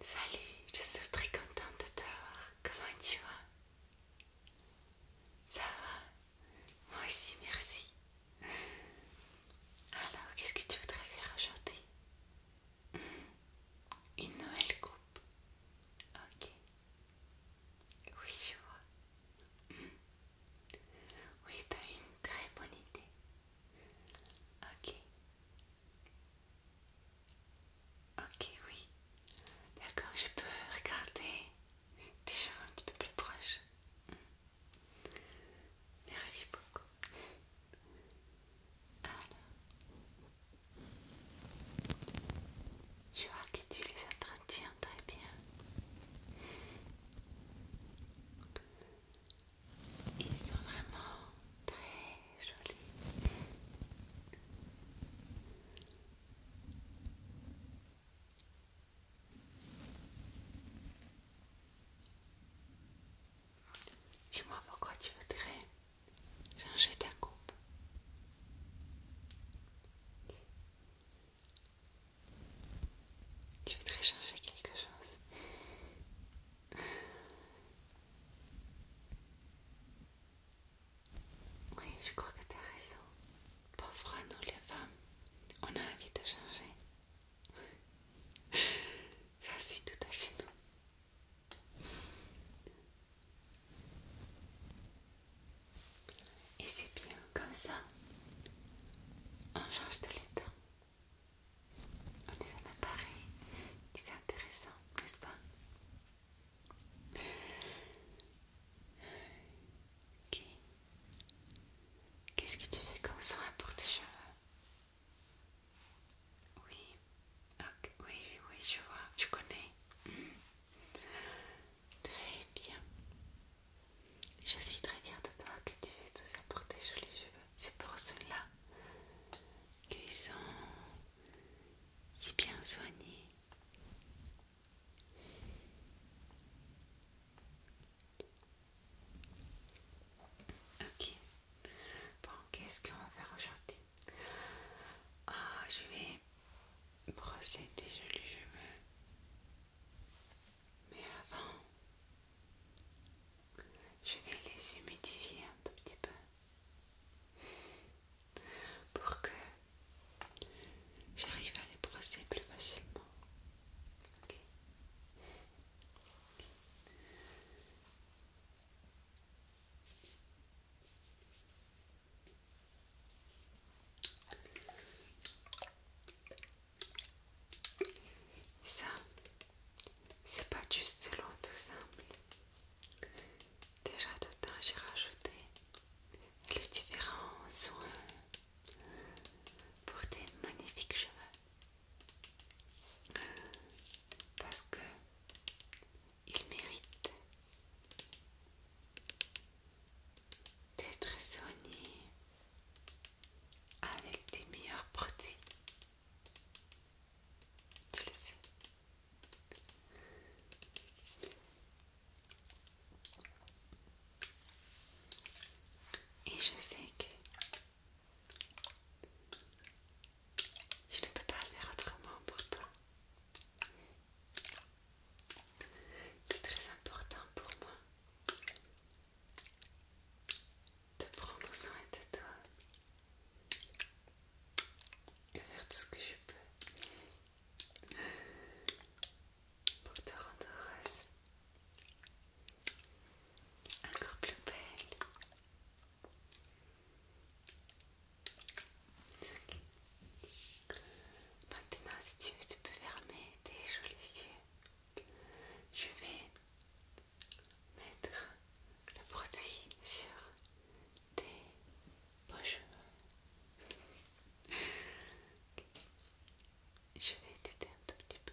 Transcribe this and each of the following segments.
Salut, je suis très contente de te voir. Comment tu vas Ça va Moi aussi, merci. Alors, qu'est-ce que tu voudrais faire aujourd'hui Une nouvelle coupe. Ok. Oui, je vois. Oui, t'as une très bonne idée. Ok. Ok, oui. D'accord, je peux regarder tes cheveux un petit peu plus proches. Merci beaucoup. je vois que tu les entretiens très bien. Ils sont vraiment très jolis. Dis-moi pourquoi tu voudrais changer ta coupe. Tu voudrais changer quelque chose. Oui, je crois que t'as raison. pauvres à nous les femmes, on a envie de changer. Ça c'est tout à fait nous. Et c'est bien comme ça. On change de l'état. On est jamais pareil. C'est intéressant, n'est-ce pas Ok. Qu'est-ce que tu fais comme soin pour tes cheveux Oui. Oui, oui, oui, je vois. Tu connais mm. Très bien. Je suis très fière de toi que tu fais tout ça pour tes jolis cheveux. C'est pour cela qu'ils sont si bien soignés. Ok. Bon, qu'est-ce qu'on va faire aujourd'hui Ah, je vais brosser tes jolis cheveux. Mais avant, je vais les humidifier un tout petit peu pour que j'arrive à les brosser plus facilement. Ça, c'est pas juste selon tout simple. Déjà d'autant j'ai rajouté les différents soins pour des magnifiques cheveux. Parce que il méritent d'être soignés avec des meilleurs produits et je sais que je ne peux pas faire autrement pour toi. C'est très important pour moi de prendre soin de toi et faire tout ce que je peux pour te rendre heureuse, encore plus belle. Maintenant, si tu veux, tu peux fermer tes jolis yeux. Je vais mettre le produit sur tes beaux Je vais t'aider un tout petit peu.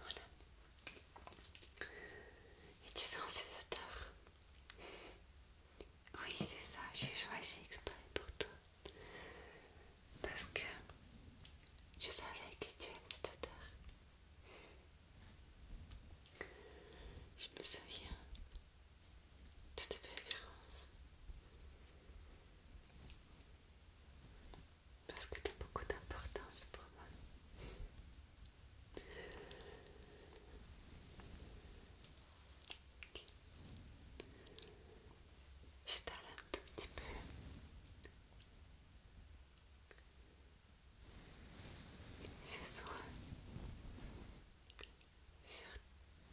Voilà. Et tu sens ces odeurs Oui, c'est ça, j'ai choisi exprès pour toi. Parce que je savais que tu es cette odeur. Je me souviens c'était pas Parce que tu as beaucoup d'importance pour moi. Je t'arrête un tout petit peu. C'est soir,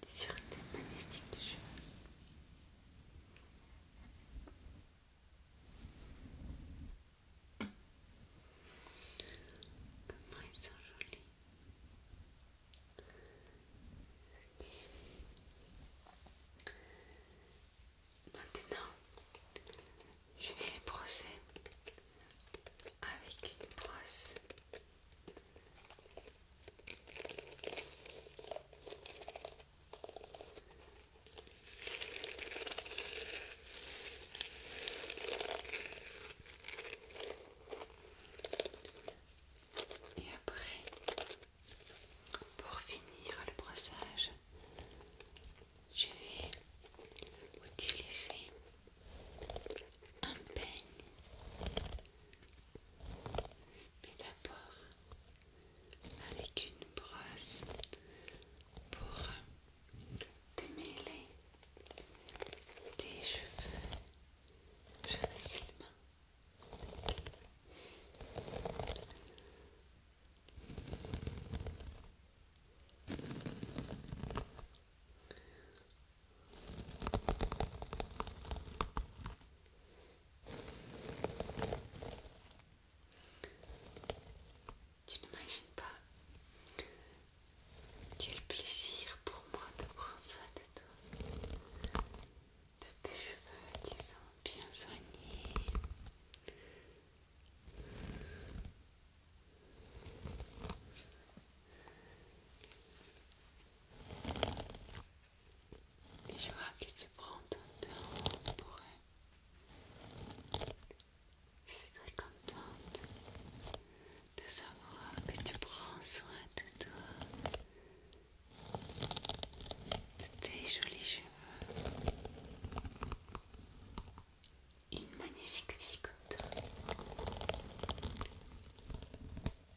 sur, sur tes magnifiques cheveux. Comment ils sont jolis. Maintenant, je vais les brosser avec une brosse et après, pour finir le brossage, je vais utiliser un peigne mais d'abord, avec une brosse pour démêler les cheveux, cheveux tu n'imagines pas quel plaisir pour moi de prendre soin de toi, de tes cheveux qui sont bien soignés je vois que tu prends ton temps pour C'est très contente de savoir que tu prends soin de toi, de tes jolis cheveux. Une magnifique vie comme toi.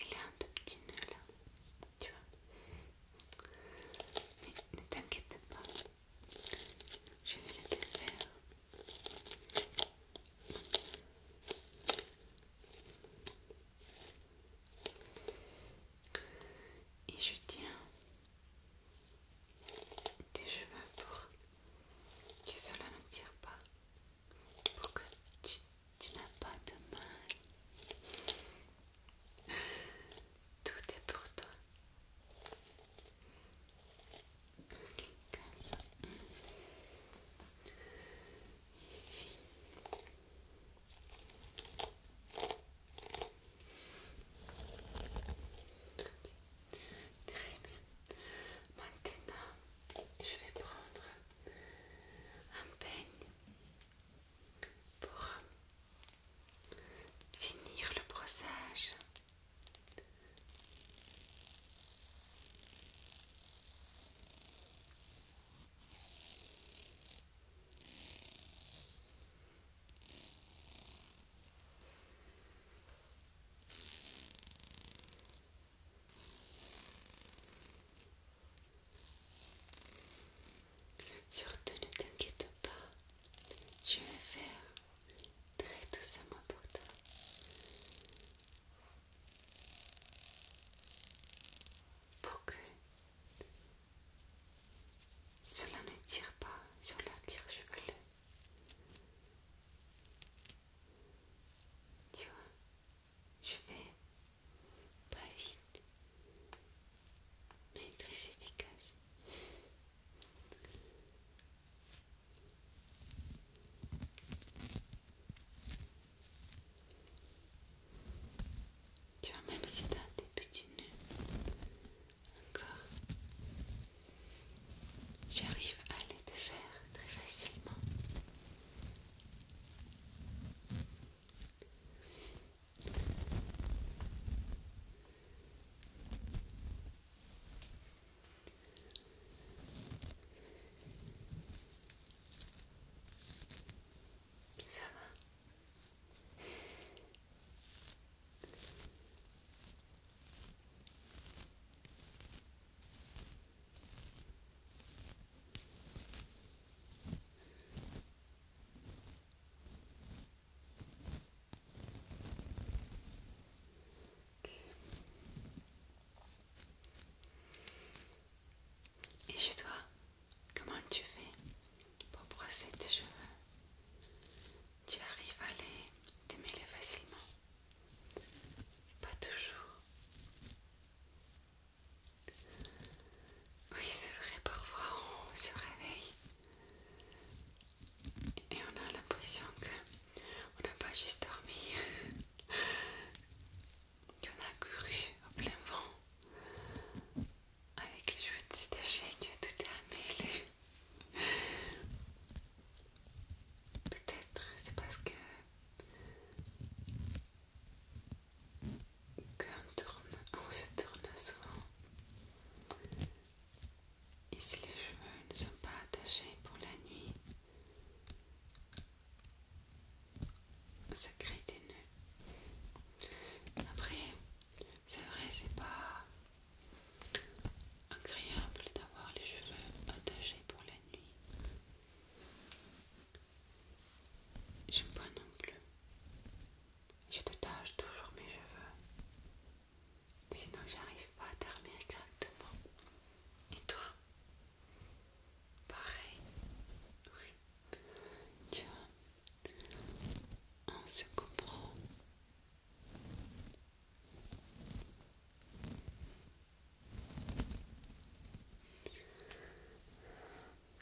Il a un tout petit nœud là, tu vois. Mais ne t'inquiète pas, je vais le défaire. Et je tiens tes cheveux pour que cela ne tire pas pour que tu, n'as pas de mal. Tout est pour toi. Très bien. Maintenant, je vais prendre un peigne pour finir le brossage. Surtout ne t'inquiète pas, je vais faire très doucement pour toi. Pour que cela ne tire pas sur la cuir chevelu. Tu vois, je vais pas vite, mais très efficace. Tu vois, même si t'as des petits nœuds, encore. J'arrive à les faire très facilement. Ça va et chez toi, comment tu fais pour brosser tes cheveux tu arrives à les démêler facilement. Pas toujours. Oui, c'est vrai, parfois on se réveille et on a l'impression que on n'a pas juste dormi, qu'on a couru au plein vent avec les cheveux détachés, que tout est amêlé. Peut-être, c'est parce que qu'on tourne, on se tourne souvent. Et si les cheveux ne sont pas attachés pour la nuit, ça crée des nœuds. Après, c'est vrai, c'est pas agréable d'avoir les cheveux attachés pour la nuit. J'aime pas non plus. Je tache toujours mes cheveux. Sinon j'arrive pas à dormir correctement. Et toi Pareil. Oui. Tu vois, on se comprend.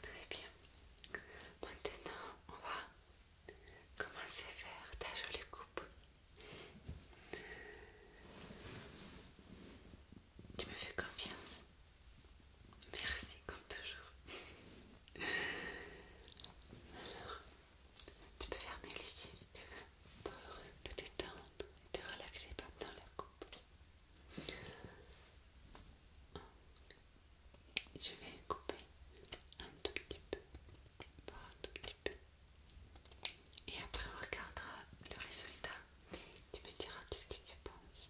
Très bien. Maintenant, on va commencer à faire ta jolie coupe. Tu me fais confiance. Merci, comme toujours. Tu peux fermer les yeux si tu veux pour te détendre et te relaxer pas dans la coupe. Je vais couper un tout petit peu, un tout petit peu. Et après on regardera le résultat. Tu me diras tout ce que tu penses.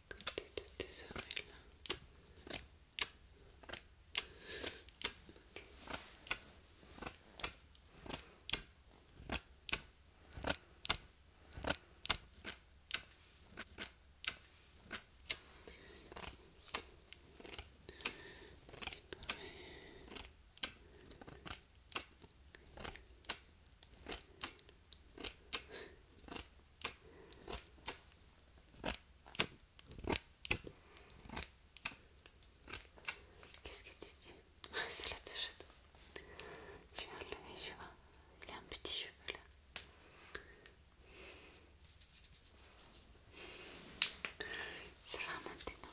côté de tes oreilles Qu'est-ce que tu dis ah, C'est la tâche vais Il y a un petit cheveu là. C'est vraiment maintenant.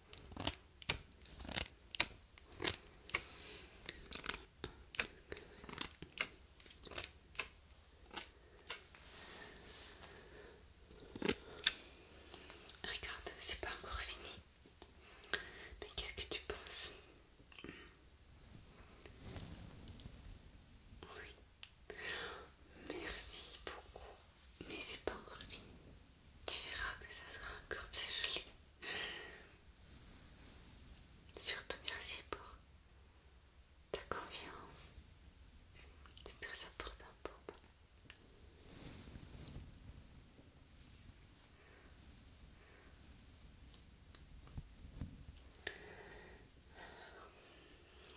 Regarde, c'est pas encore fini. Mais qu'est-ce que tu penses Oui. Merci beaucoup. Mais c'est pas encore fini. Tu verras que ça sera encore plus joli. Surtout merci pour ta confiance. C'est très important pour moi.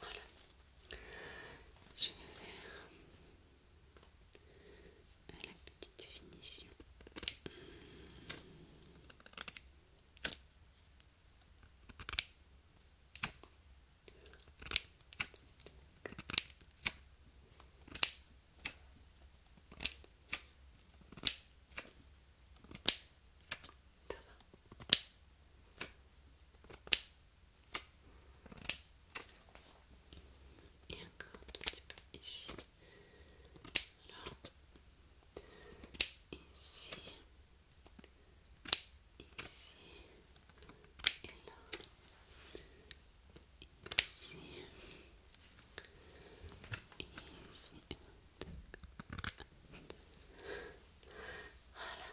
Voilà. Je vais la petite finition. Et encore un petit ici. Là. Ici. Ici. Et là. Ici. Ici. Voilà.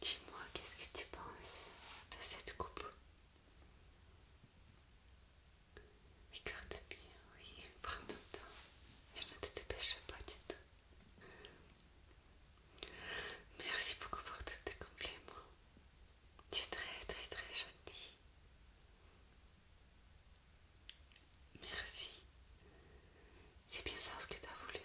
Dis-moi, qu'est-ce que tu penses de cette coupe Regarde bien, oui, prends ton temps. Je ne te dépêche pas du tout. Merci beaucoup pour tous tes compliments. Tu es très très très gentil. Merci. C'est bien ça ce que tu as voulu.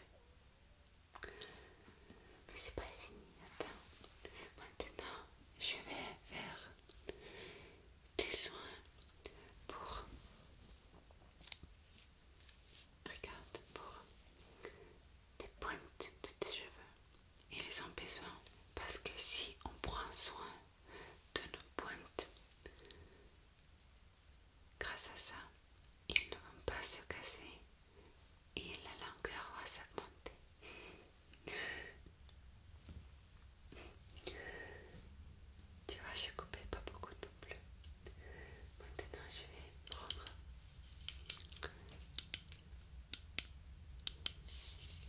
Mais c'est pas fini, attends. Maintenant, je vais faire des soins pour. Regarde, pour des pointes de tes cheveux. Ils ont besoin parce que si on prend soin de nos pointes, Grâce à ça, ils ne vont pas se casser et la longueur va s'augmenter. tu vois, j'ai coupé pas beaucoup de bleu. Maintenant, je vais prendre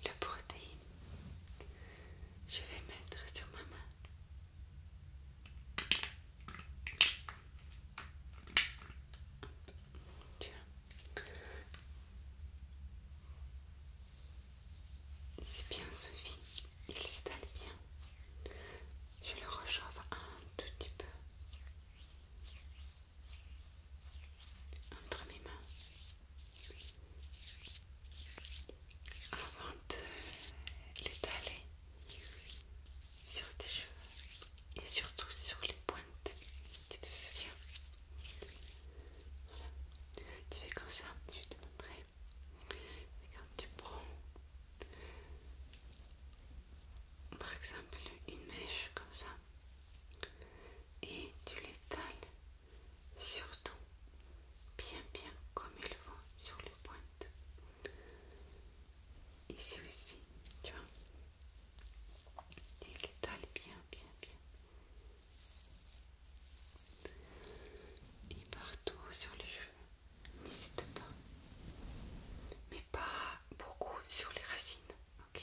le protéine. Je vais mettre sur ma main c'est bien Sophie, il s'étale bien. Je le rechauffe un tout petit peu entre mes mains avant de l'étaler sur tes cheveux et surtout sur les pointes. Tu te souviens Voilà. Tu fais comme ça, je te montrer. quand tu prends par exemple une mèche comme ça et tu l'étales surtout bien bien comme il faut sur les pointes Ici aussi, tu vois. Et il bien, bien, bien. Et partout sur les cheveux. N'hésite pas. Mais pas beaucoup sur les racines. Ok.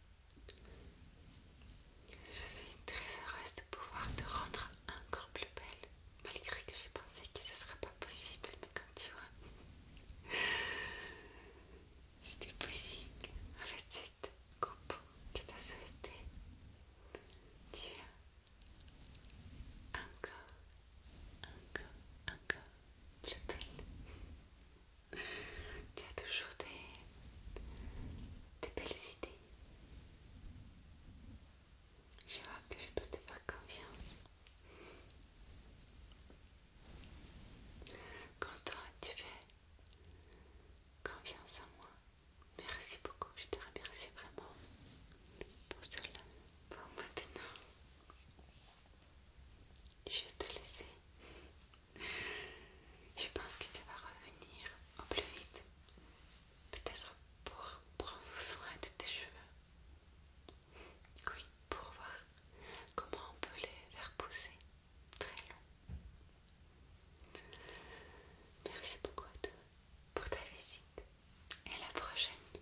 Je suis très heureuse de pouvoir te rendre encore plus belle, malgré que j'ai pensé que ce ne serait pas possible, mais comme tu vois, c'était possible avec cette coupe que tu as souhaitée. Tu es encore, encore, encore plus belle. Tu as toujours des, des belles idées. Je vois que je peux te faire confiance. Quand tu fais confiance en moi, merci beaucoup. Je te remercie vraiment pour cela. Pour maintenant, je vais te laisser. Je pense que tu vas revenir au plus vite. Peut-être pour prendre soin de tes cheveux. Oui, pour voir comment on peut les faire pousser très long. Merci beaucoup à toi pour ta visite. Et à la prochaine.